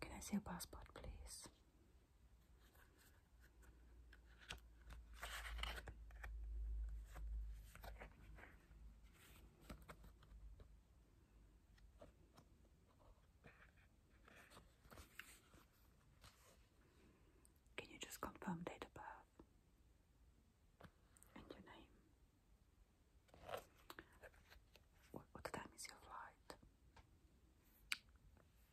Can I see your passport, please? Can you just confirm date of birth and your name? what time is your flight?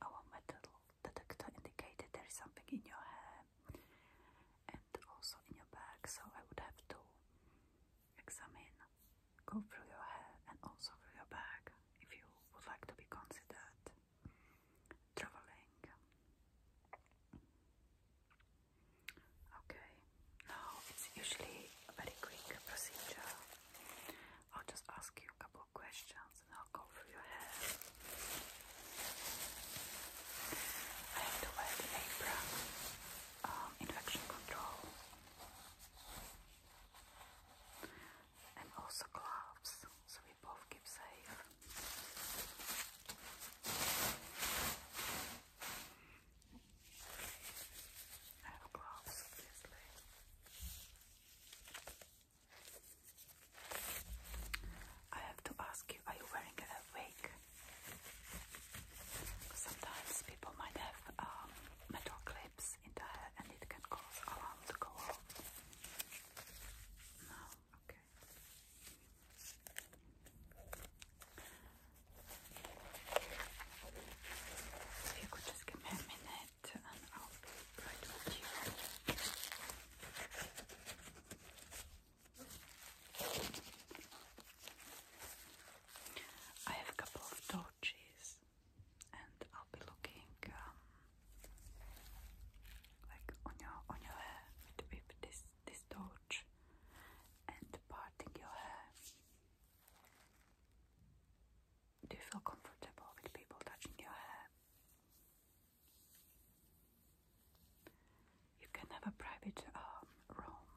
Our metal detector indicated there is something in your hair and also in your back, so I would have to examine, go through your hair and also through your back if you would like to be considered traveling. Okay, now it's usually a very quick procedure. I'll just ask you a couple of questions and I'll go through your hair. I have to wear the apron. Um, infection control. And also gloves, so we both keep safe. I obviously. I have to ask you, are you wearing a wig? Sometimes people might have um, metal clips in the hair and it can cause alarm to go off. No? Okay. So you could just give me a minute I'll be right with have a couple of torches and I'll be looking um, like on your on your hair with this this torch and parting your hair do you feel comfortable with people touching your hair. You can have a private um, room.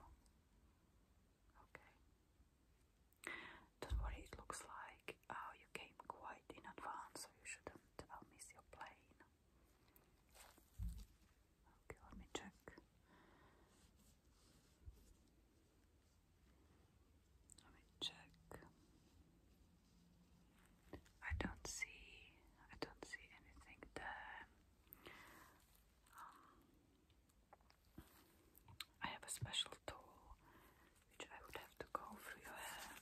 Okay. Don't worry, it looks like oh, you came quite in advance, so you shouldn't uh, miss your plane. Okay, let me check. Let me check. I don't see I don't see anything there. Um, I have a special tool which I would have to go through your hair.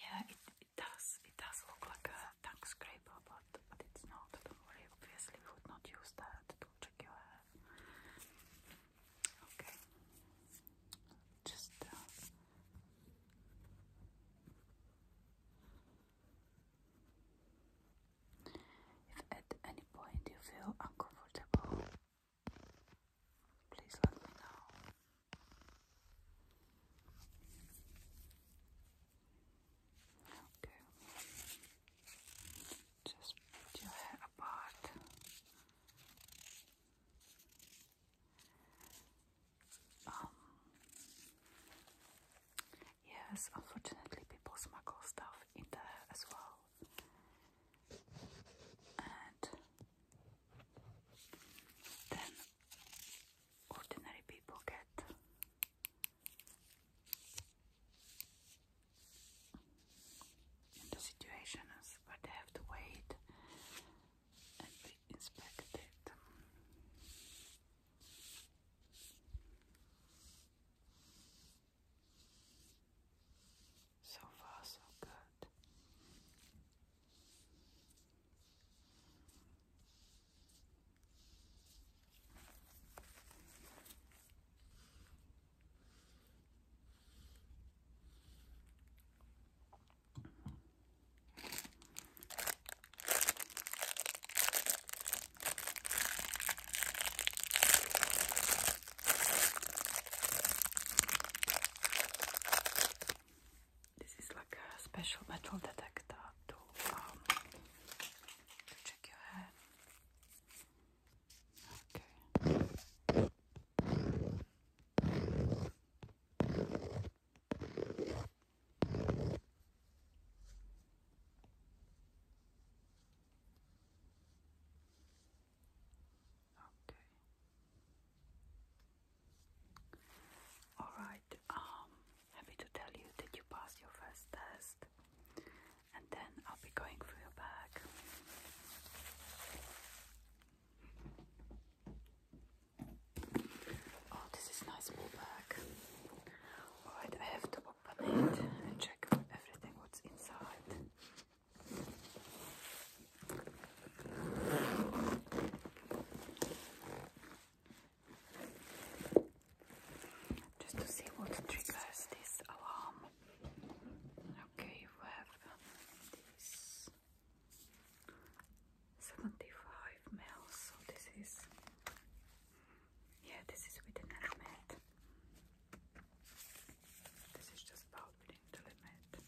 Yeah, it does. It does look like a tank scraper, but, but it's not. Don't obviously, would not use that to check your hair. Okay, just uh, if at any point you feel uncomfortable, please let me know. Okay. Just put your hair apart. Um, yes, unfortunately, people smuggle stuff in there as well. And then ordinary people get the situation is where they have to wait and be inspected. So far, so good. This is like a special metal detector to um, check your hair. Okay. Okay. All right. Um Happy to tell you that you passed your first test, and then I'll be going through your bag. Oh, this is nice small Alright, I have to open it and check everything what's inside. Just to see what triggers this alarm. Okay, we have this 75 ml, so this is yeah, this is within the limit. This is just about within the limit.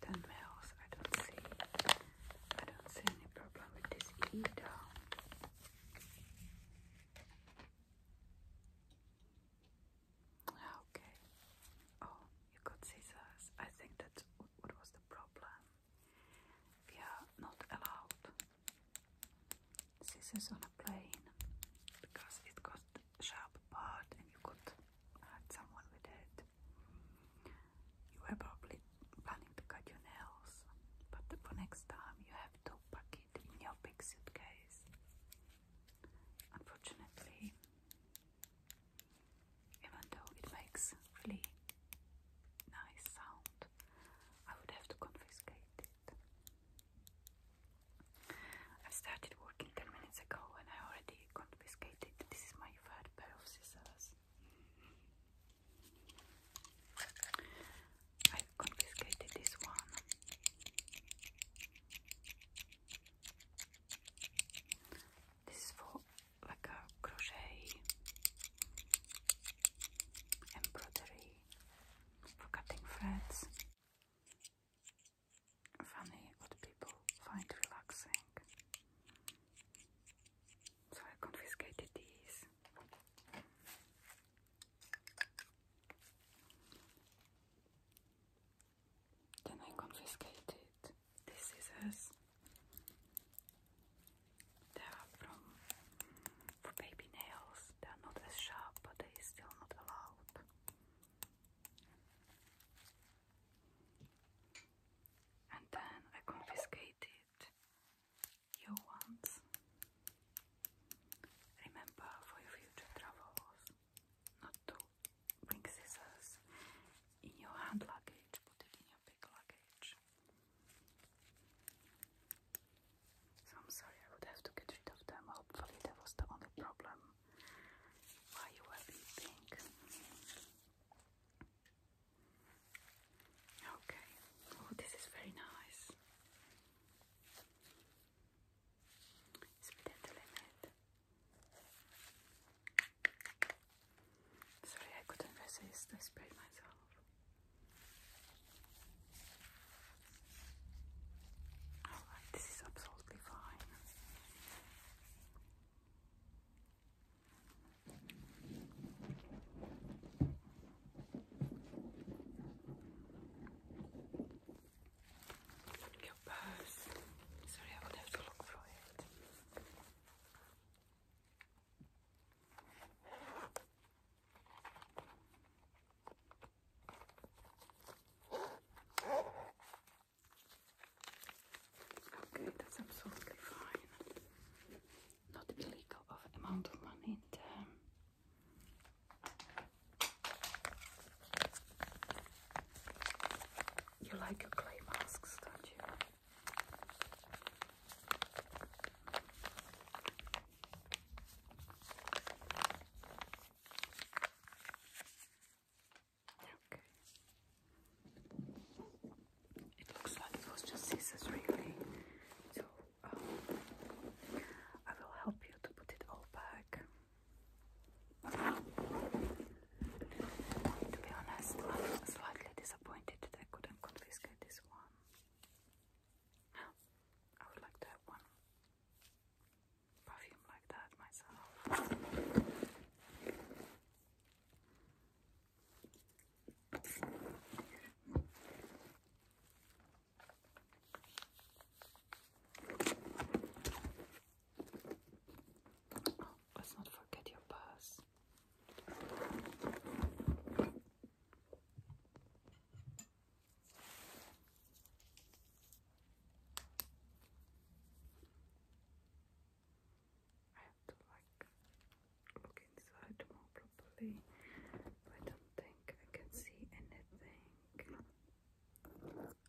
Ten mils. I don't see. I don't see any problem with this either. Ah, okay. Oh, you got scissors. I think that's what was the problem. We are not allowed scissors on a plane because it got sharp part and you could hurt someone with it. You were probably planning to cut your nails, but for next time you have two buckets in your big suitcase. Unfortunately, even though it makes really nice sound, I would have to confiscate it. I started working 10 minutes ago and I already confiscated. This is my third pair of scissors. I have confiscated this one. This is for like a crochet embroidery for cutting threads. Funny what people find relaxing. So I confiscated these. Then I confiscated the scissors. They are from for baby nails. They are not as sharp, but they still not allowed. And then I confiscated your ones. Remember for your future travels not to bring scissors in your hand luggage, put in your big luggage. So I'm sorry, I would have to get rid of them. Hopefully, that was the only problem why you were beeping. Okay, oh, this is very nice. Svedete le mete. Sorry, I couldn't resist. I sprayed myself. Alright, this is absolutely fine. Your purse. Sorry, I will have to look for it. Okay, that's absolutely fine. Not illegal of amount of money. It, um, you like your clay masks, don't you? Okay. It looks like it was just scissors, really. So Oh. I will help you to put it all back. To be honest, am slightly disappointed that I couldn't confiscate this one. I would like to have one perfume like that myself. Oh, let's not forget your pass. I have to like look inside more properly, I don't think I can see anything.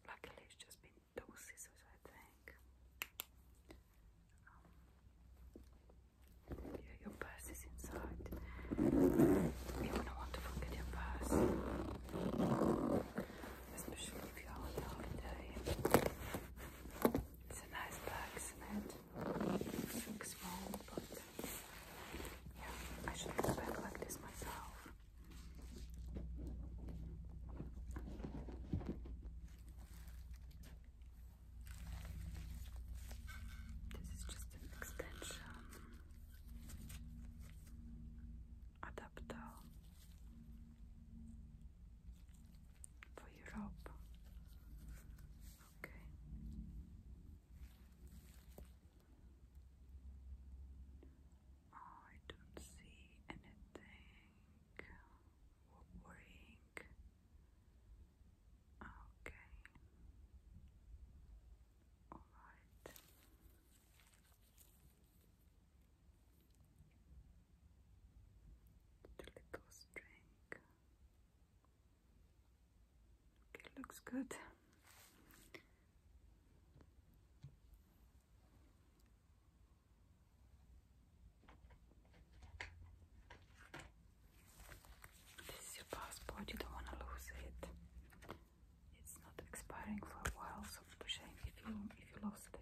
Luckily, it's just been double scissors, I think. Um, your purse is inside. You wouldn't want to forget your purse, especially if you're on a holiday. It's a nice bag, isn't it? It's small, but yeah, I should go back like this myself. This is just an extension adapter for Europe. Okay. Oh, I don't see anything worrying. Okay. All right. The little string. It looks good. This is your passport, you don't want to lose it. It's not expiring for a while, so it's a shame if you if you lost it.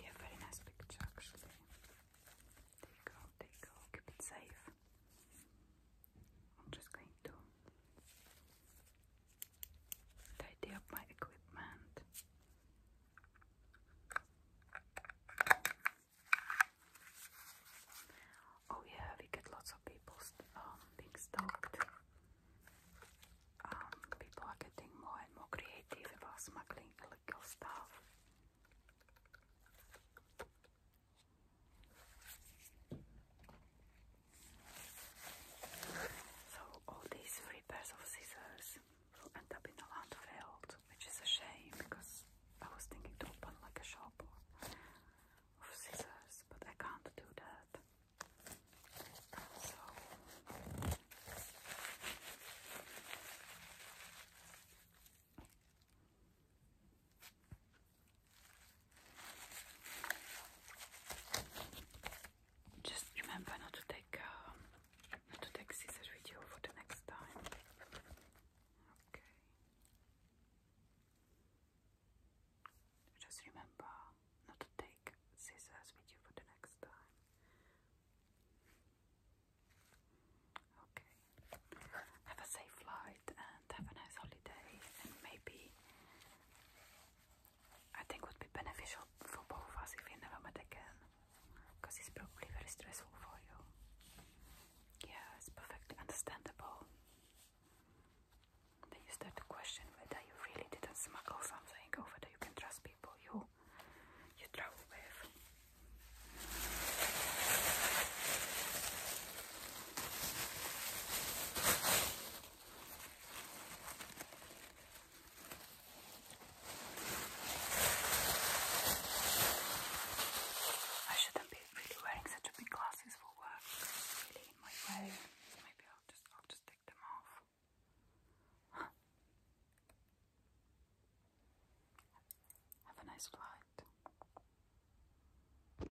Yeah, very nice picture actually. There you go, there keep it safe. I'm just going to tidy up my equipment. Oh yeah, we get lots of people um, being um, people are getting more and more creative about smuggling illegal stuff. So all these three pairs of scissors will end up in the landfill, which is a shame because I was thinking to open like a shop of scissors, but I can't do that. Just remember not to take uh, not to take scissor with you for the next time. Okay. Just remember not to take scissors with you for the next time. Okay. Have a safe flight and have a nice holiday and maybe I think would be beneficial for both of us if we never met again, because it's probably very stressful for you. Yeah, it's perfectly understandable. Then you start to question whether you really didn't smuggle something or whether you can trust people you you travel with. I shouldn't be really wearing such big glasses for work. really in my way. Maybe I'll just I'll just take them off. Have a nice flight.